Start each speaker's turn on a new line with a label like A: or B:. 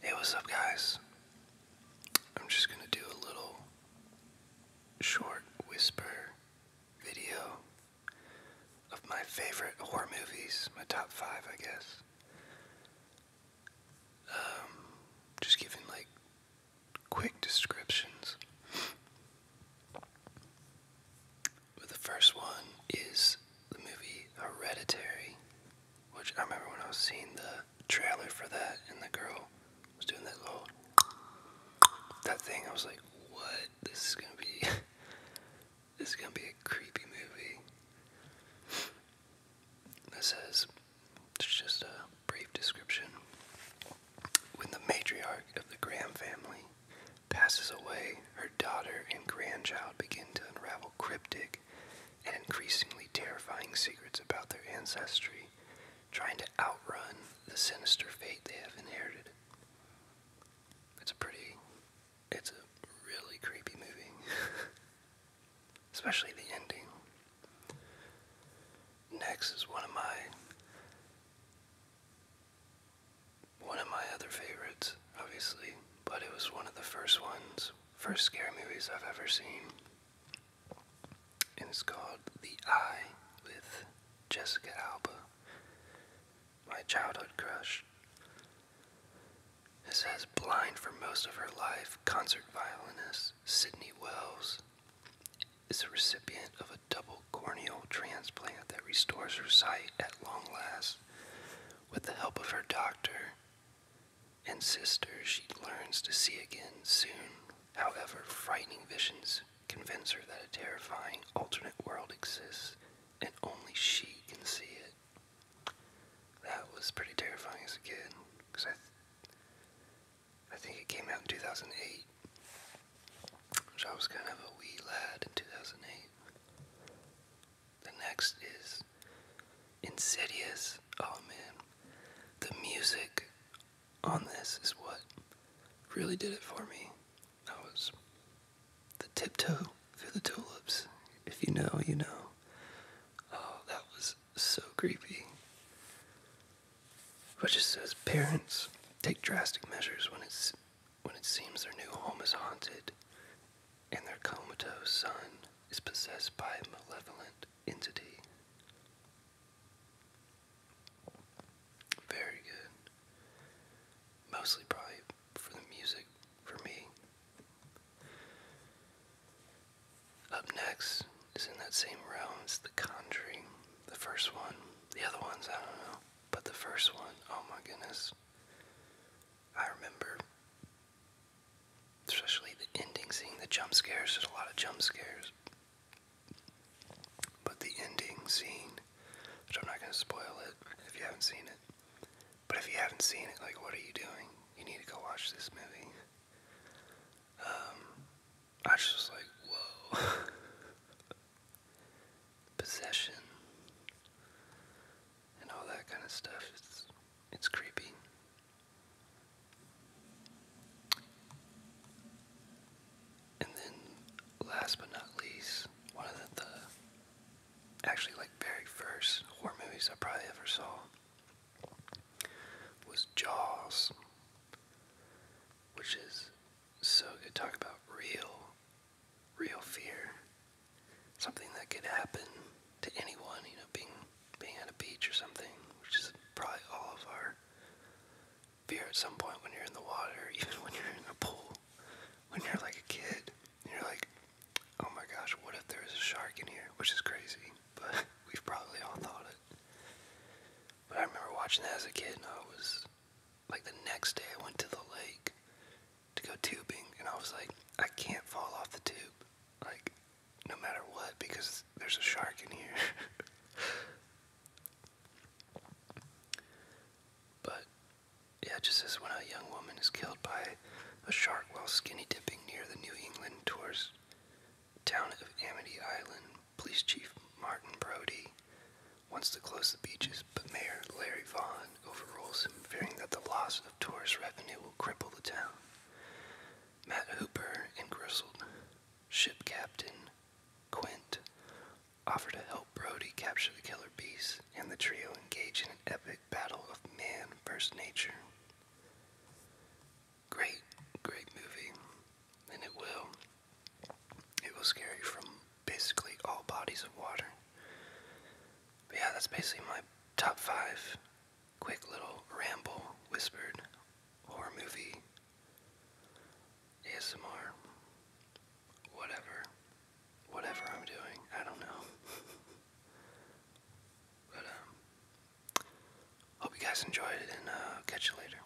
A: Hey, what's up, guys? I'm just gonna do a little short whisper video of my favorite horror movies, my top five, I guess. Um, just giving like quick descriptions. the first one is the movie Hereditary. Which I remember when I was seeing the trailer for that, and the girl was doing that little that thing. I was like, "What? This is gonna be this is gonna be a creepy movie." That says it's just a brief description. When the matriarch of the Graham family passes away, her daughter and grandchild begin to unravel cryptic and increasingly terrifying secrets about their ancestry, trying to outrun the sinister fate they have inherited. It's a pretty, it's a really creepy movie, especially the ending. Next is one of my one of my other favorites obviously, but it was one of the first ones, first scary movies I've ever seen. And it's called The Eye with Jessica Alba, my childhood crush. It says, blind for most of her life, concert violinist Sydney Wells is a recipient of a double corneal transplant that restores her sight at long last with the help of her doctor and sister, she learns to see again soon. However, frightening visions convince her that a terrifying alternate world exists and only she can see it. That was pretty terrifying as a kid because I, I think it came out in 2008, which I was kind of a wee lad in 2008. The next is Insidious. Oh man, the music on this is what really did it for me. That was the tiptoe through the tulips. If you know, you know. Oh, that was so creepy. But just as parents take drastic measures when it's when it seems their new home is haunted and their comatose son is possessed by a malevolent entity. Very good. Mostly probably for the music for me. Up next is in that same realm, it's The Conjuring, the first one. The other ones, I don't know. But the first one, oh my goodness. I remember, especially the ending, scene the jump scares. There's a lot of jump scares. But the ending scene, which I'm not going to spoil it if you haven't seen it, but if you haven't seen it, like, what are you doing? You need to go watch this movie. Um, I just like, whoa. possession and all that kind of stuff. It's it's creepy. And then last but not least, one of the, the actually like very first horror movies I probably ever saw was Jaws, which is so good. Talk about real real fear. Something that could happen to anyone, you know, being being at a beach or something, which is probably all of our fear at some point when you're in the water, even when you're in a pool, when you're like a kid, you're like, oh my gosh, what if there is a shark in here? Which is crazy, but we've probably all thought it. But I remember watching that as a kid, and I was like the next day I went to the lake to go tubing and I was like, I can't fall off the tube. Like, no matter what, because there's a shark in here. but yeah, it just says when a young woman is killed by a shark while skinny dipping near the New England tourist town of Amity Island, Police Chief Martin Brody wants to close the beaches, but Mayor Larry Vaughn overrules him, fearing that the loss of tourist revenue will cripple the town. Matt Hooper and grizzled ship captain Quint offer to help Brody capture the killer beast, and the trio engage in an epic battle of man versus nature. Great, great movie, and it will. It will scare you from basically all bodies of water. yeah, that's basically my top five quick little ramble, whispered horror movie, ASMR, whatever, whatever I'm doing. I don't know. but um, hope you guys enjoyed it, and uh, catch you later.